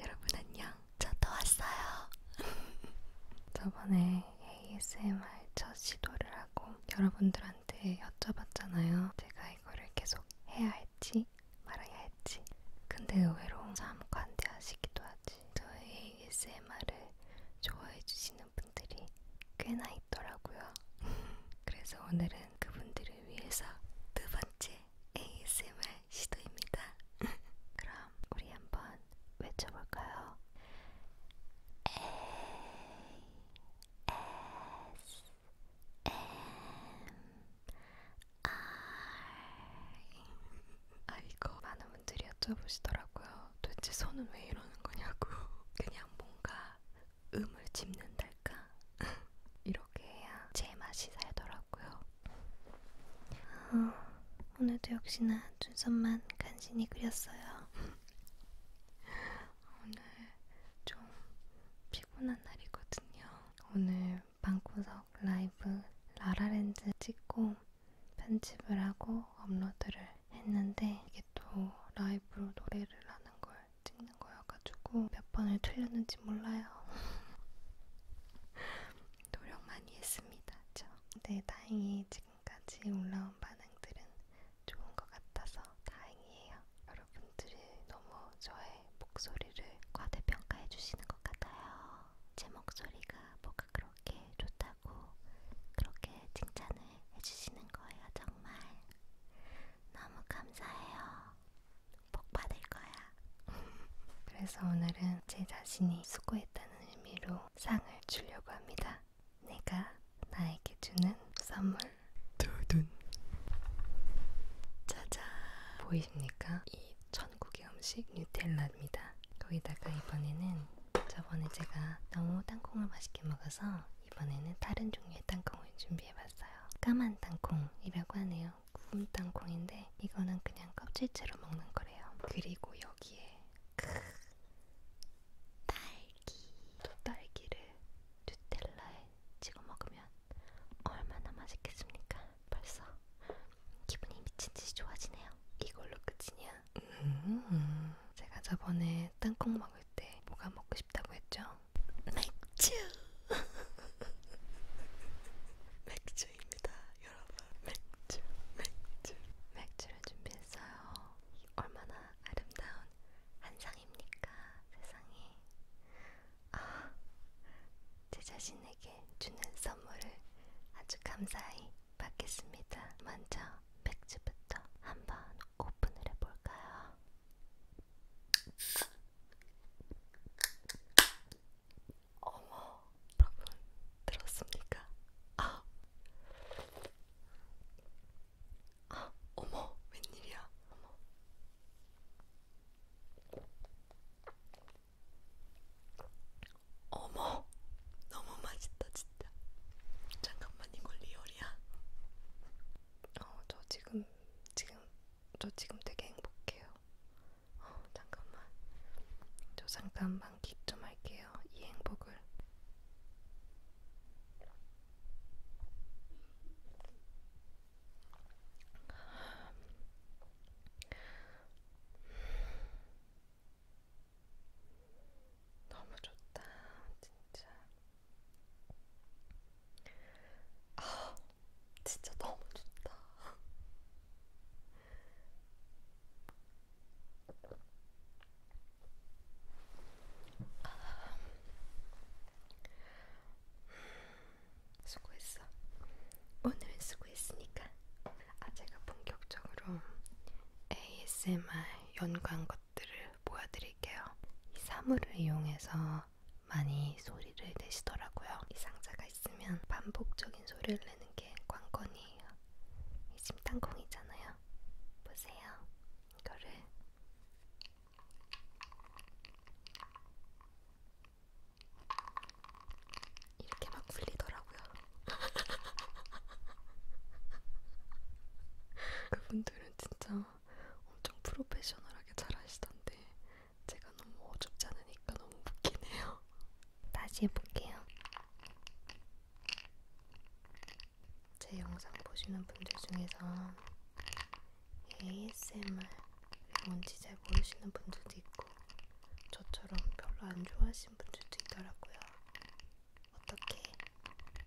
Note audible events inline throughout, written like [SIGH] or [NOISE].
여러분 안녕. 저 또 왔어요. [LAUGHS] 저번에 ASMR 첫 시도를 하고 여러분들한테 여쭤봤잖아요. 제가 이거를 계속 해야 할지 말아야 할지. 근데 의외로 참 관대하시기도 하지. 저의 ASMR을 좋아해 주시는 분들이 꽤나 있더라고요. [LAUGHS] 그래서 오늘은 그분들을 위해서 두 번째 ASMR 시도입니다. [LAUGHS] 그럼 우리 한번 외쳐볼까요? A S M R 아 이거 많은 분들이 여쭤보시더라고요. 도대체 손은 왜 이러는 거냐고. [LAUGHS] 그냥 뭔가 음을 짚는달까? [LAUGHS] 이렇게 해야 제 맛이 살더라고요. 어, 오늘도 역시나 눈썹만 간신히 그렸어요. [LAUGHS] 오늘 좀 피곤한 날이거든요. 오늘 방구석 라이브 라라랜드 찍고 편집을 하고 업로드를 했는데 이게 또 라이브로 노래를 하는 걸 찍는 거여가지고 몇 번을 틀렸는지 몰라요. [LAUGHS] [LAUGHS] 노력 많이 했습니다. 저. 네, 다행히 지금까지 올라온 반응들은 좋은 것 같아서 다행이에요. 여러분들이 너무 저의 목소리를 과대평가해 주시는 것 같아요. 제 목소리가 뭐가 그렇게 좋다고 그렇게 칭찬을 해주시는 거예요. 정말 너무 감사해요. 복 받을 거야. 그래서 오늘은 제 자신이 수고했다는 의미로 상을 주려고 합니다. 내가 나에게 주는 선물 두둔 짜잔 보이십니까? 이 천국의 음식 뉴텔라입니다. 거기다가 이번에는 저번에 제가 너무 땅콩을 맛있게 먹어서 이번에는 다른 종류의 땅콩을 준비해봤어요. 까만 땅콩이라고 하네요. 있잖아요. 구운 땅콩인데 이거는 그냥 껍질째로 먹는 거래요. 그리고 여기에 크 딸기 또 딸기를 누텔라에 찍어 먹으면 얼마나 맛있겠습니까? 벌써 기분이 미친 듯이 좋아지네요. 이걸로 끝이냐? 음, 제가 저번에 땅콩 먹을 때 뭐가 먹고 싶다고 했죠? 맥주. [LAUGHS] 맥주. 맥주입니다, 여러분. 맥주, 맥주. 맥주를 준비했어요. 얼마나 아름다운 한상입니까, 세상이. 아, 제 자신에게 주는 선물을 아주 감사히 받겠습니다. 먼저 맥주부터 한번 오픈을 해볼까요? 어머, 여러분 들었습니까? 아, 아, 어머, 웬일이야? 어머. 어머, 너무 맛있다 진짜. 잠깐만 이걸 리얼이야? 어, 저 지금 지금 저 지금 되게 행복해요. 어, 잠깐만. 저 잠깐 만끽 좀 할게요. 이 행복을. 너무 좋다, 진짜. 아, 진짜 너무 좋다. 아, 수고했어. 오늘은 수고했으니까. 아 제가 본격적으로 ASMR 연관 것들을 보여드릴게요. 이 사물을 이용해서 많이 소리를 내시더라고요. 이 상자가 있으면 반복적인 소리를 내는 게 관건이에요. 이 지금 땅콩이잖아요. 보세요. 이거를 이렇게 막 굴리더라고요. [LAUGHS] 그분들은 진짜 엄청 프로페셔널하게 잘 하시던데 제가 너무 어줍지 않으니까 너무 웃기네요. [LAUGHS] 다시 해볼게요. 제 영상 보시는 분들 중에서 ASMR 뭔지 잘 모르시는 분들도 있고 저처럼 별로 안 좋아하시는 분들도 있더라고요. 어떻게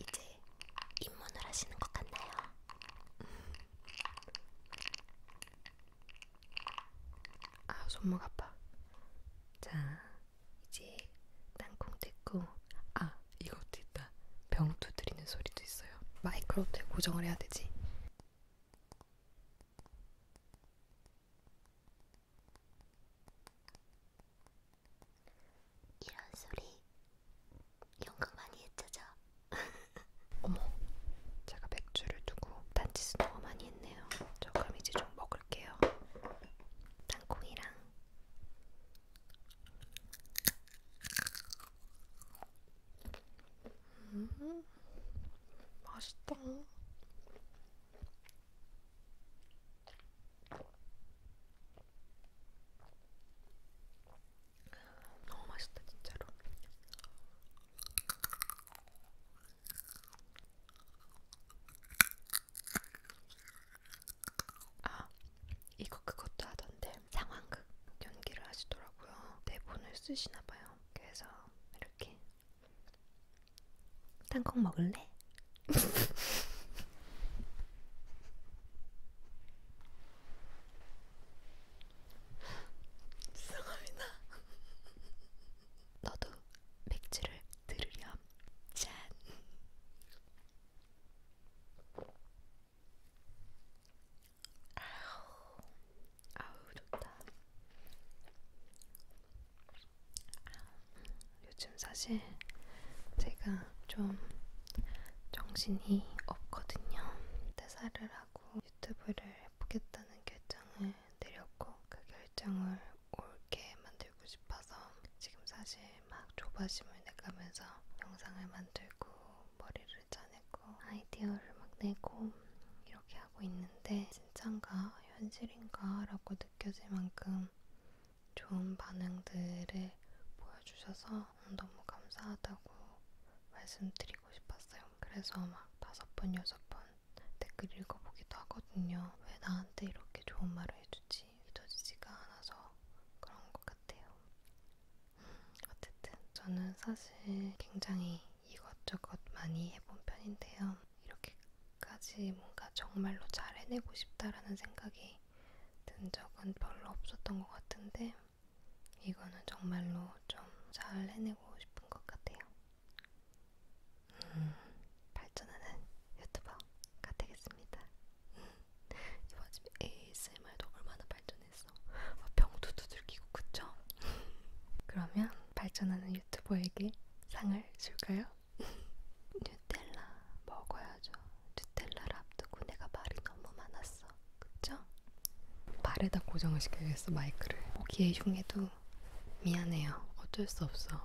이제 입문을 하시는 것 같나요? 아 손목 아파. 자 이제 땅콩 뜯고 아 이것도 있다. 병 두드리는 소리도 있어요. 마이크로 어떻게 고정을 해야 되지? 이런 소리 연극 많이 했죠? 어머, 제가 맥주를 두고 단지수 너무 많이 했네요. 저 그럼 이제 좀 먹을게요. 땅콩이랑 음, 맛있다. 너무 맛있다 진짜로. 아 이거 그것도 하던데 상황극 연기를 하시더라고요. 대본을 쓰시나 봐요. 그래서 이렇게 땅콩 먹을래? [LAUGHS] 죄송합니다. 너도 맥주를 들으렴. 짠. 아우, 아우 좋다. 요즘 사실 제가 좀 정신이 없거든요. 퇴사를 하고 유튜브를 보겠다는 결정을 내렸고 그 결정을 옳게 만들고 싶어서 지금 사실 막 조바심을 내가면서 영상을 만들고 머리를 짜내고 아이디어를 막 내고 이렇게 하고 있는데 진짠가 현실인가 라고 느껴질 만큼 좋은 반응들을 보여주셔서 너무 감사하다고 말씀드리고 싶었어요. 그래서 막 다섯 번, 여섯 번 댓글 읽어보기도 하거든요. 왜 나한테 이렇게 좋은 말을 해주지? 믿어지지가 않아서 그런 것 같아요. 어쨌든 저는 사실 굉장히 이것저것 많이 해본 편인데요. 이렇게까지 뭔가 정말로 잘 해내고 싶다라는 생각이 든 적은 별로 없었던 것 같은데 이거는 정말로 좀 잘 해내고 싶은 것 같아요. 음, 발전하는 유튜버가 되겠습니다. 음, 이번 집에 ASMR도 얼마나 발전했어. 아, 병도 두들기고 그쵸? 그러면 발전하는 유튜버에게 상을 줄까요? [LAUGHS] 뉴텔라 먹어야죠. 뉴텔라를 앞두고 내가 말이 너무 많았어. 그쵸? 발에다 고정을 시켜야겠어 마이크를 보기에 흉해도 미안해요 어쩔 수 없어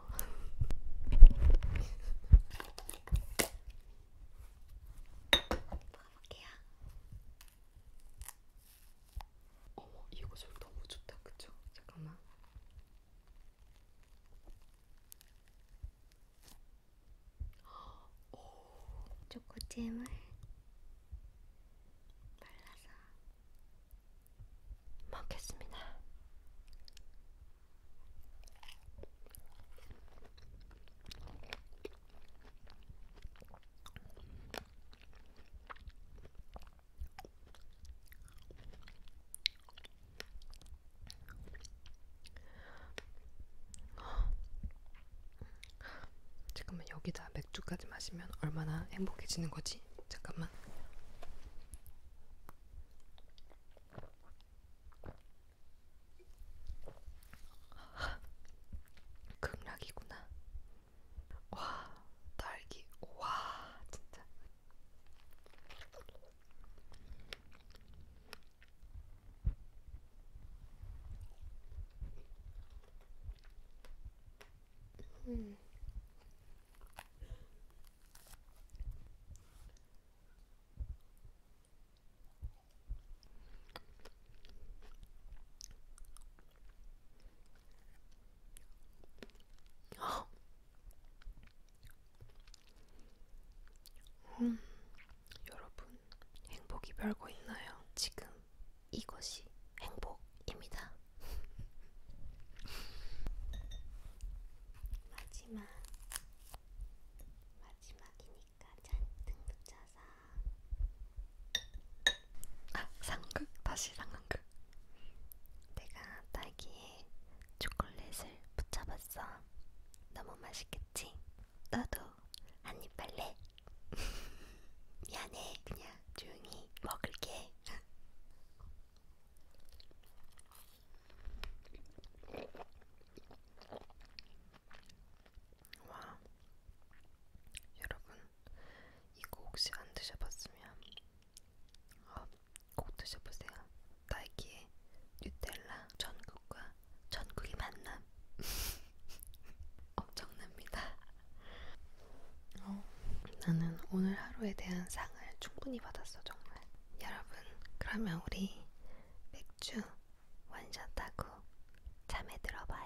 먹어볼게요 어머 이거 술 너무 좋다 그쵸? 잠깐만 초코잼을 발라서 먹겠습니다. 잠깐만 여기다 맥주까지 마시면 얼마나 행복해지는 거지? 잠깐만. 극락이구나. 와, 딸기. 와, 진짜. 음. 음, 여러분, 행복이 별거 있나요? 지금 이것이 행복입니다. [LAUGHS] 마지막 마지막이니까 잔뜩 묻혀서 아 상극 다시 상극 내가 딸기에 초콜릿을 붙잡았어. 너무 맛있겠지? 너도 한입 할래? [LAUGHS] 미안해, 그냥 조용히 먹을게. [LAUGHS] 와, 여러분, 이거 혹시 안 드셔봤으면 어, 꼭 드셔보세요. 나이키의 뉴텔라 전국과 전국이 만남 [LAUGHS] 엄청납니다. 어, 나는 오늘 하루에 대한 상을 충분히 받았어 정말. 여러분 그러면 우리 맥주 원샷하고 잠에 들어봐요.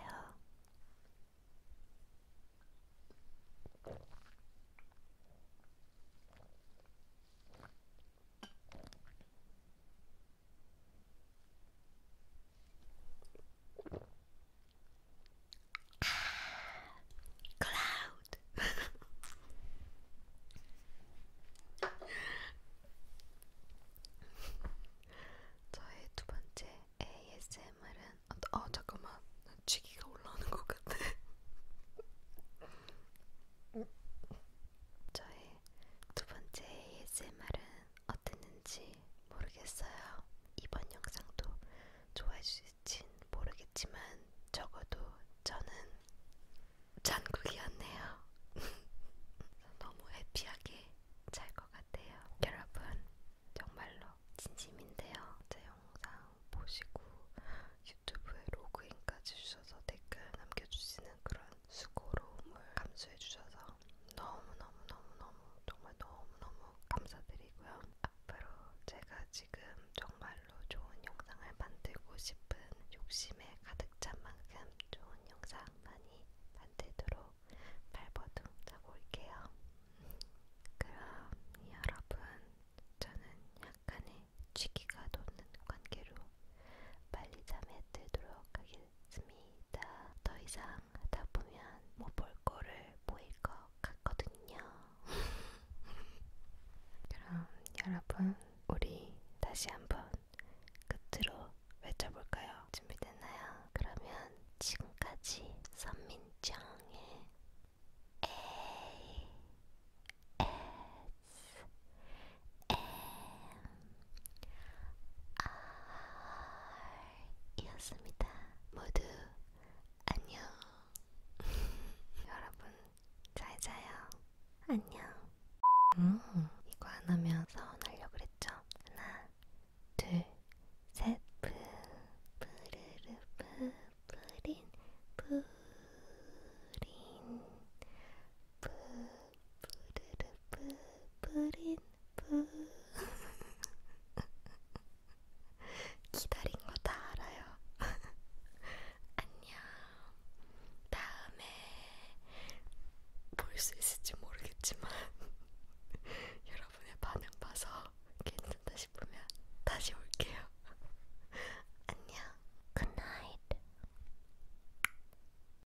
cloud. [LAUGHS] 저의 두 번째 ASMR은 어, 어 잠깐만 쥐기가 올라오는 것 같아. [LAUGHS] 저의 두 번째 ASMR은 어땠는지 모르겠어요. 이번 영상도 좋아해 주실진 모르겠지만 적어도 저는 잔국이었네요. [LAUGHS] 너무 해피하게 잘 것 같아요. 여러분 정말로 진심인데요. 제 영상 보시고 유튜브에 로그인까지 주셔서 댓글 남겨주시는 그런 수고로움을 감수해 주셔서 너무너무너무너무 정말 너무너무 감사드리고요. 앞으로 제가 지금 정말로 좋은 영상을 만들고 싶은 욕심에 가득 찬 만큼 좋은 영상 많이 만들도록 발버둥 차고 올게요. 그럼 여러분 저는 약간의 취기가 도는 관계로 빨리 잠에 들도록 하길 않습니다. 더 이상 하다 보면 못 볼 거를 보일 것 같거든요. [LAUGHS] 그럼 여러분, 우리 다시 한번 끝으로 외쳐볼까요? 준비됐나요? 그러면 지금까지 선민정의 A S 이었습니다. 모두 안녕. [LAUGHS] 여러분 잘 자요. 안녕. 음, 이거 안 하면 서운하려고 그랬죠? 하나, 둘, 셋. 푸, 푸르르, 푸, 푸린, 푸린, 푸. 뿌르르 뿌린 뿌 [LAUGHS] 기다린 거 다 알아요. [LAUGHS] 안녕. 다음에 볼 수 있을지 모르겠지만 [LAUGHS] 여러분의 반응 봐서 괜찮다 싶으면 다시 올게요. 안녕. Good night.